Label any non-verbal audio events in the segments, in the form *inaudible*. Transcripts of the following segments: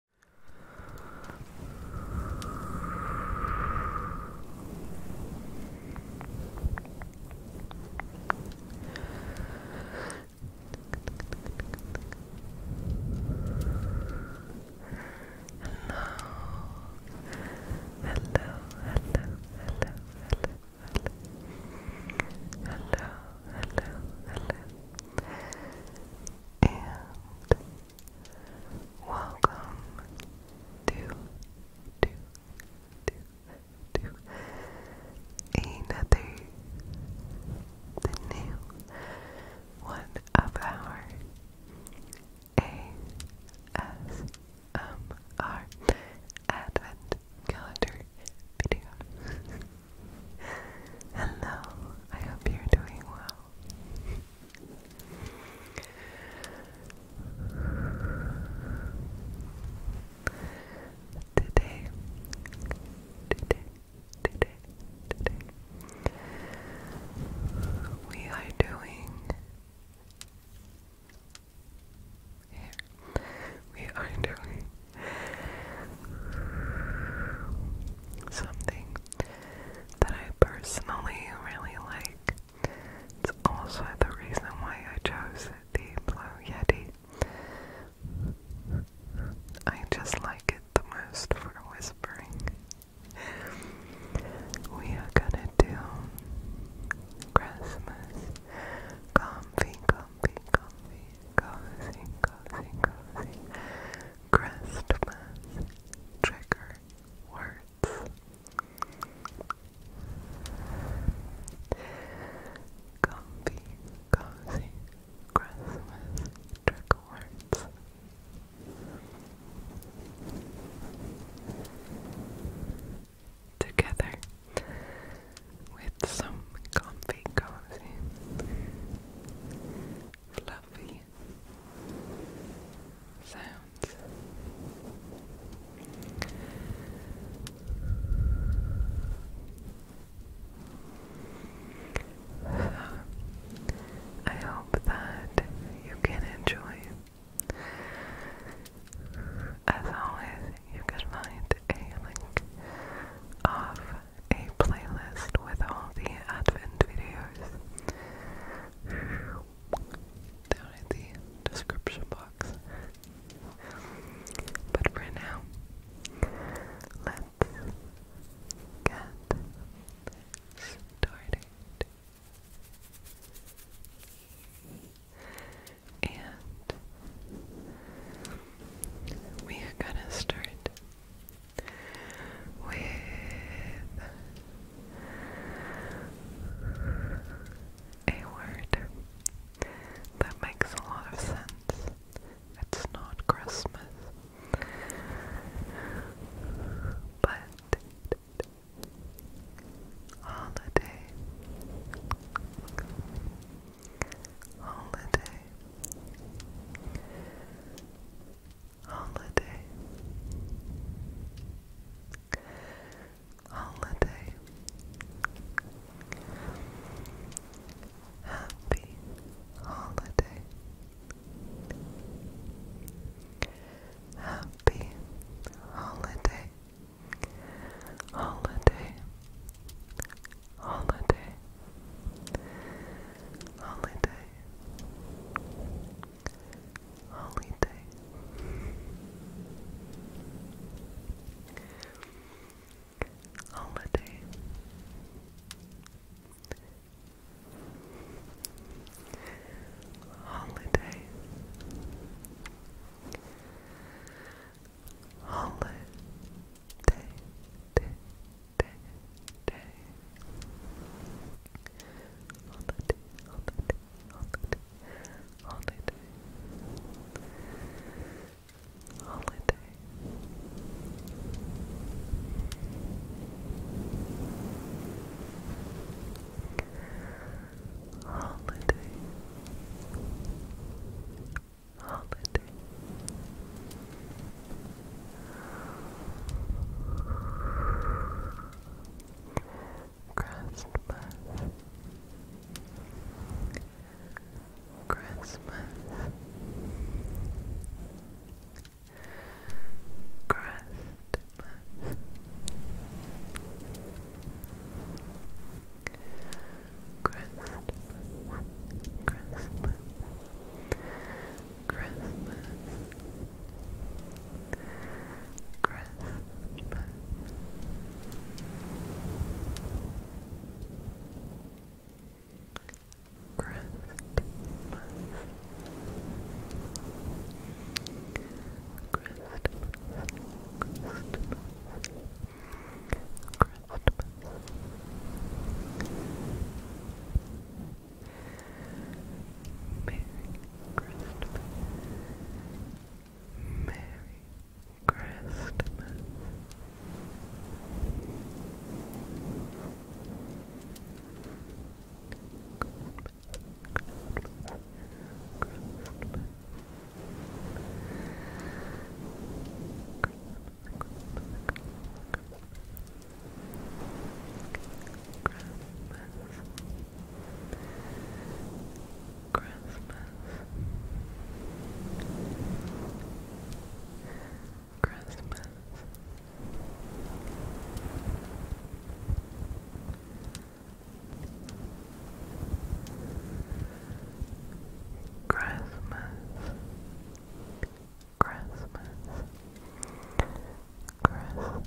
hello, hello, hello, and Welcome to, to, to, to another the new one of our ASMR Advent Calendar video. Hello, I hope you're doing well. Today, today, today, today, we are doing. We are doing something that I personally really like. It's also the reason why I chose the Blue Yeti. I just like it the most for whispering. We are gonna do Christmas comfy, comfy, comfy, cozy, cozy, cozy, Christmas trigger words. Comfy, cozy Christmas trigger words. Together with some comfy, cozy, fluffy sounds. I hope that you can enjoy. As always, you can find a link of a playlist with all the Advent videos down in the description box. But for now, let's get started. And we are gonna start with a word that makes a lot of sense. It's not Christmas, but holiday, holiday holiday holiday happy holiday happy holiday holiday holiday holiday holiday. Holiday. Holiday. Holiday. day, holiday. Holiday, holiday, holiday, holiday. Holiday. Christmas Christmas Christmas Christmas Christmas Christmas Christmas Christmas Christmas Christmas Christmas Merry Christmas. Merry Christmas. Christmas Christmas Christmas Christmas. Christmas. Xmas. Xmas.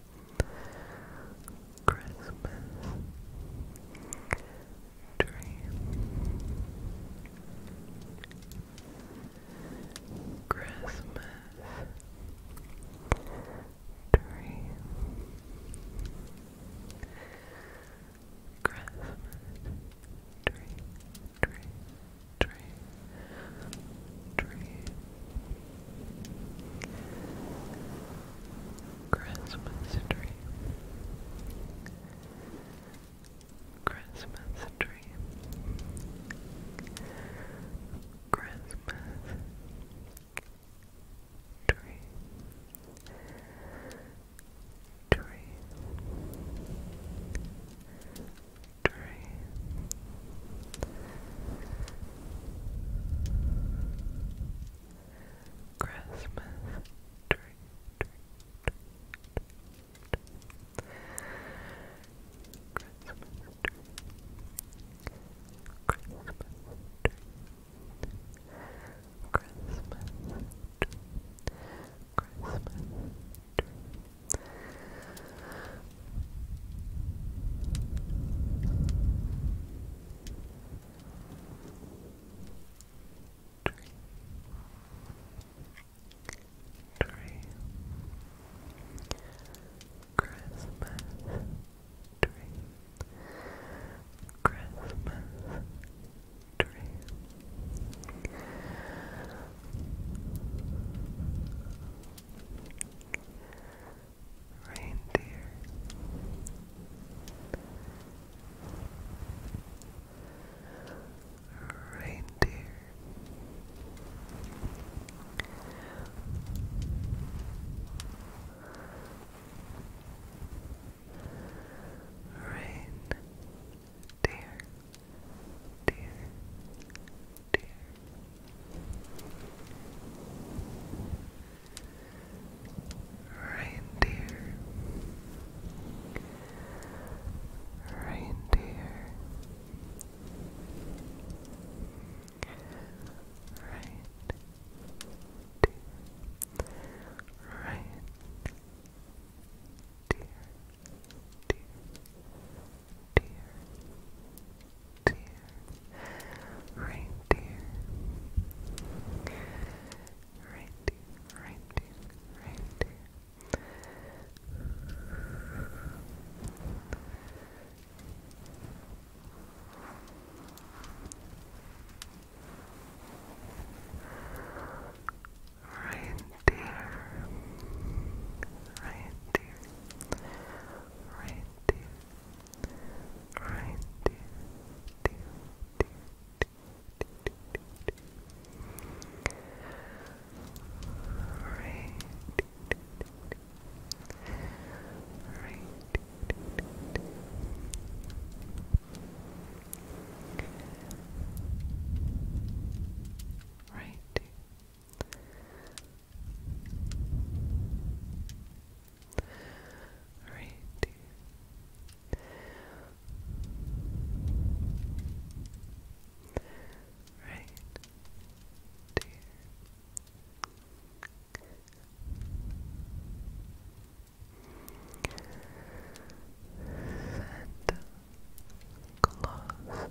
Christmas dream. Christmas dream. Christmas dream, dream, dream, dream, Christmas tree. Christmas tree. Christmas tree. Tree. Tree. Tree. Christmas Christmas Christmas Christmas Tree. Tree. Christmas tree. Christmas tree reindeer. Reindeer. Rain, deer, dear, dear. Reindeer. Reindeer. Reindeer. Reindeer. Dear, dear, dear, dear, reindeer, reindeer, reindeer, reindeer. Reindeer, reindeer, Right there. Right. Right reindeer, reindeer. Santa Claus Santa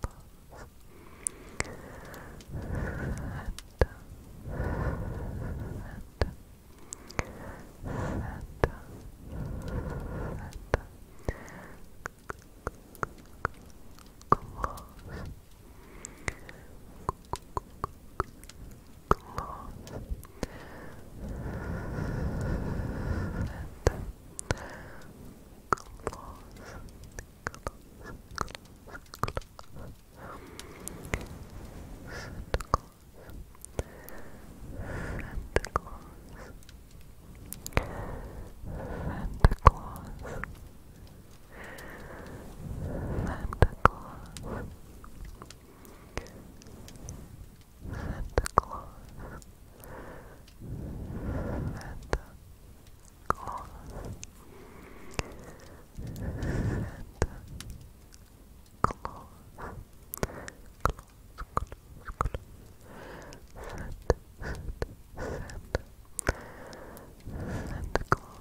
Gloss. Gloss. Gloss. Gloss. Gloss. Gloss. Gloss. Gloss. Gloss close, close, Santa Claus. Santa Claus. Santa Claus. Santa Claus. Santa Claus. Santa Claus. Santa Claus and close and close close close close Set, set, set, set, close.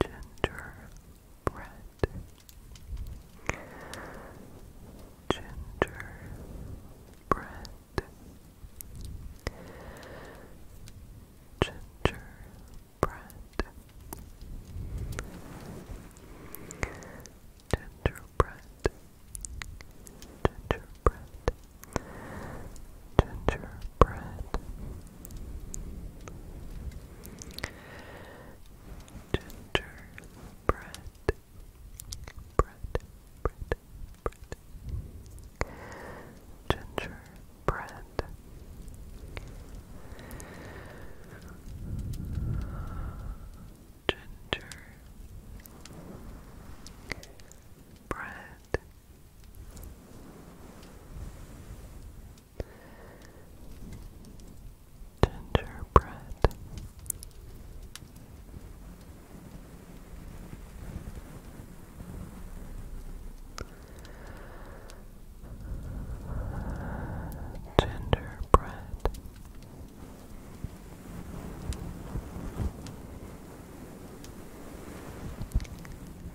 Gingerbread Gingerbread Gingerbread Gingerbread Gingerbread gingerbread, gingerbread, bread, bread, bread, gingerbread. Ginger Gingerbread. Gingerbread.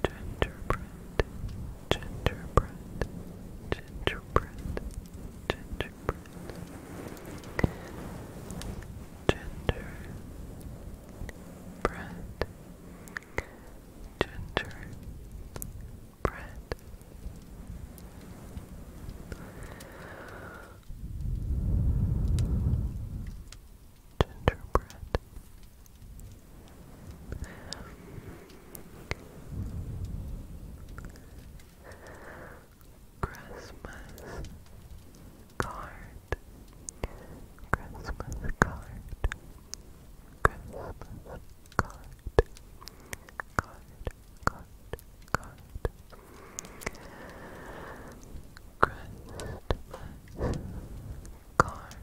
Gingerbread, gingerbread, gingerbread, gingerbread, gingerbread, gingerbread. Gingerbread gingerbread. Christmas card, Christmas card, Christmas card, card, card, card, Christmas Card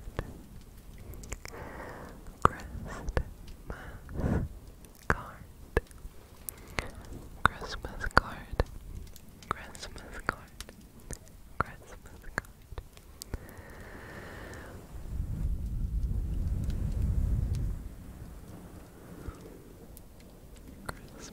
Christmas card Christmas card Christmas card Christmas card Christmas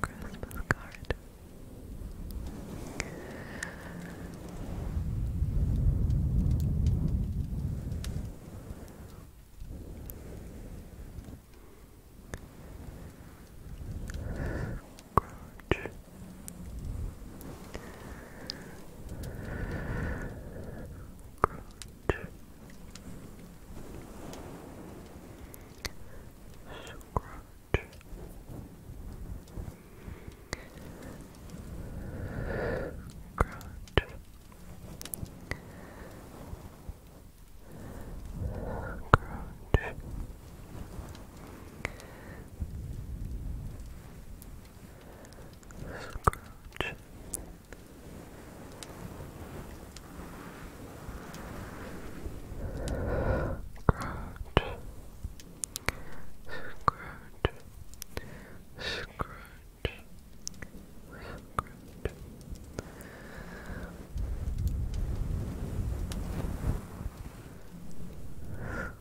Christmas card. Grouch. Scrunch, Scrooge. Scrooge. Scrooge. Scrooge. Scrooge.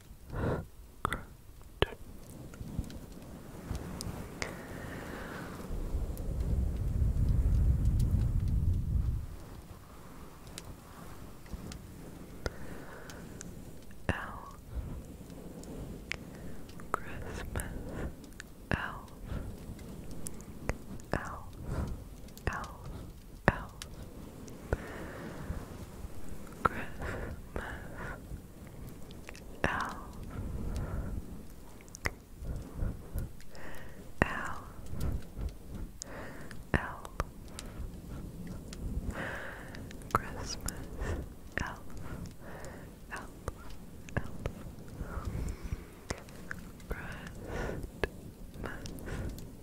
Good. Elf Christmas Elf Elf Elf elf Christmas elf elf elf Christmas elf elf elf Christmas elf Christmas elf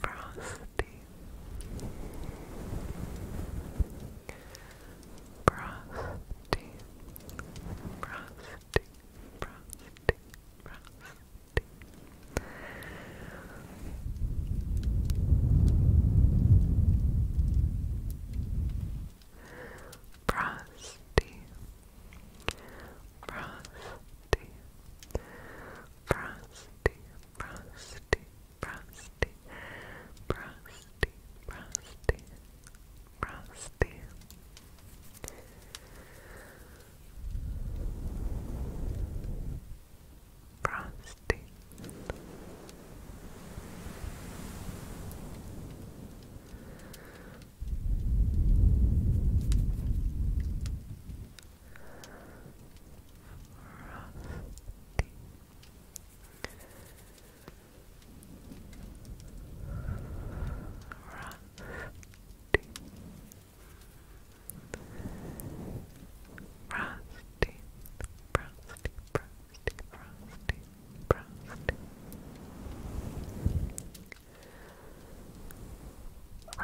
Frosty Frosty Frosty frosting, frosting, frosting. Frosty, frosty, frosty, frosty, frosty, frosty, frosty, frosty, Rusty. Frosty Frosty Rusty. Rusty. Rusty. Rusty. Rusty. Rusty. Rusty.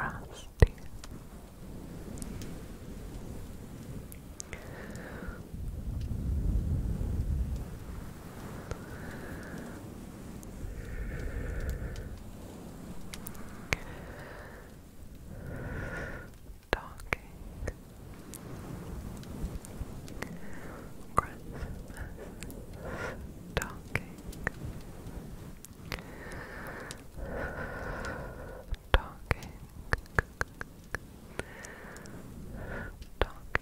Rusty. Talking Christmas Talking Talking Talking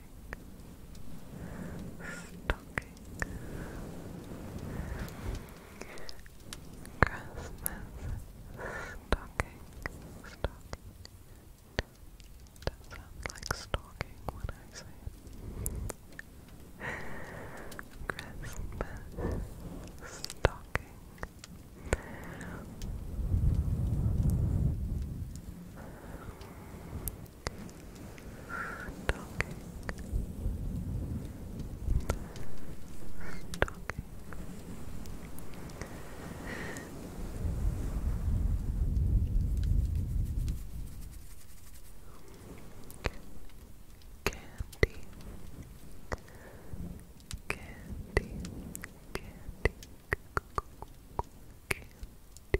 stocking Christmas stocking stocking that sounds like stalking when I say Christmas stocking Talking. Talking. Candy. Candy. Candy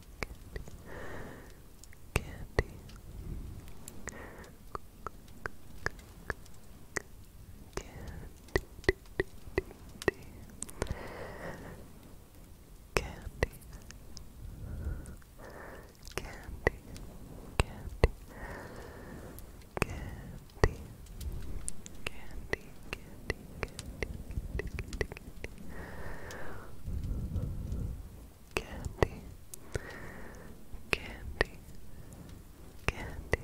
candy, candy, candy, candy, candy, candy, candy, candy, candy, candy, candy, candy, candy, candy, candy, candy, candy.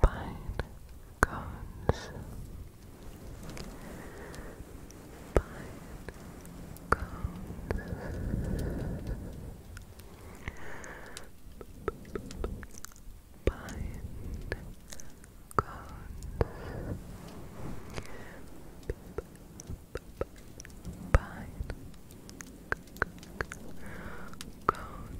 Pine cones, pine cones bind cones bind cones bind cones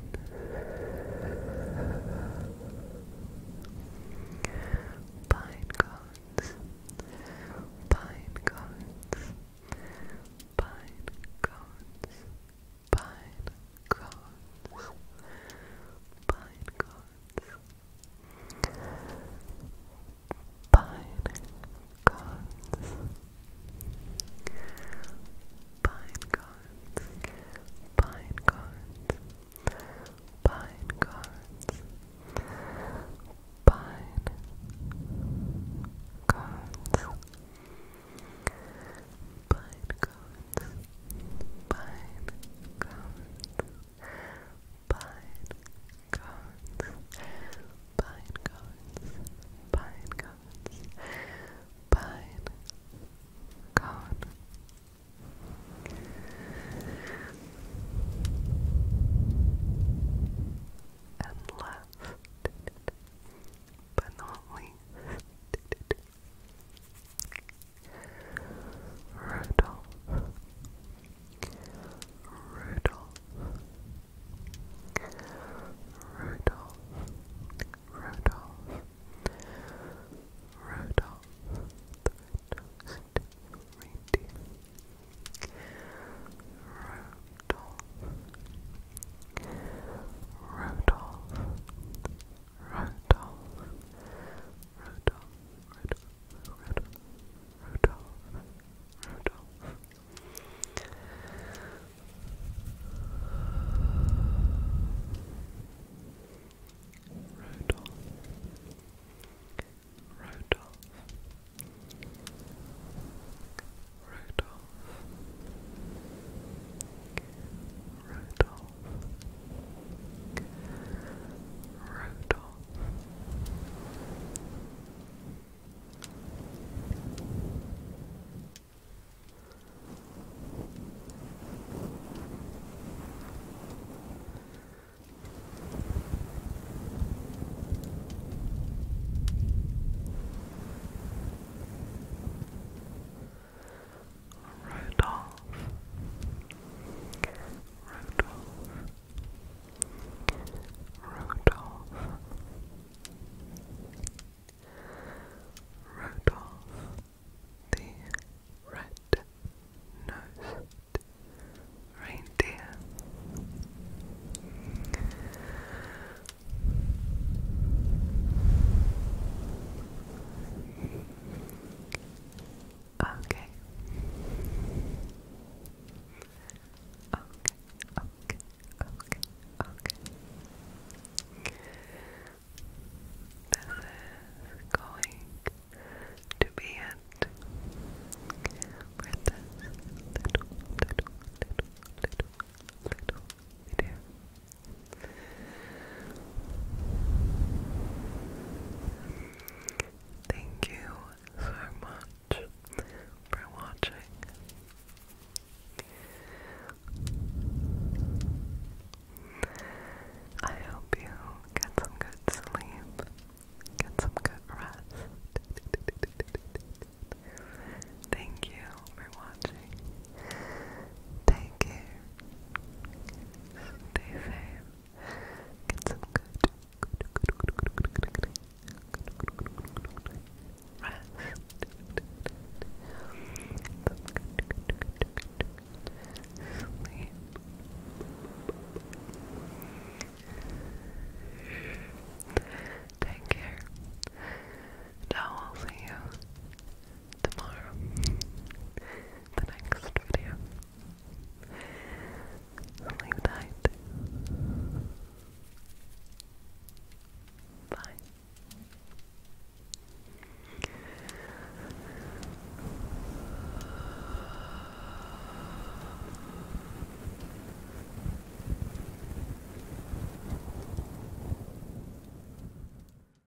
Pine cones, pine cones, pine cones, pine cones, pine cones, pine cones, pine cones, pine cones, pine cones pine cones, pine cones, pine cones, pine cones, pine cones, pine cone. And last, but not least, Rudolph, Rudolph, Rudolph, Rudolph, Rudolph, Rudolph, Rudolph, Rudolph, Rudolph, Rudolph, Rudolph, Rudolph, Rudolph. Rudolph. Rudolph. Rudolph. Rudolph. Rodolph, Rodolph. Rodolph Rodolph the red-nosed reindeer Okay. Okay, okay, okay, This is going to be it for this little, little, little, little, little video. Thank you so much for watching. I hope you get some good sleep, get some good rest. Thank you for watching. Take care. Stay safe. Get some good, rest. Take care. I will see you tomorrow, *laughs* the next video. Sleep tight. Bye.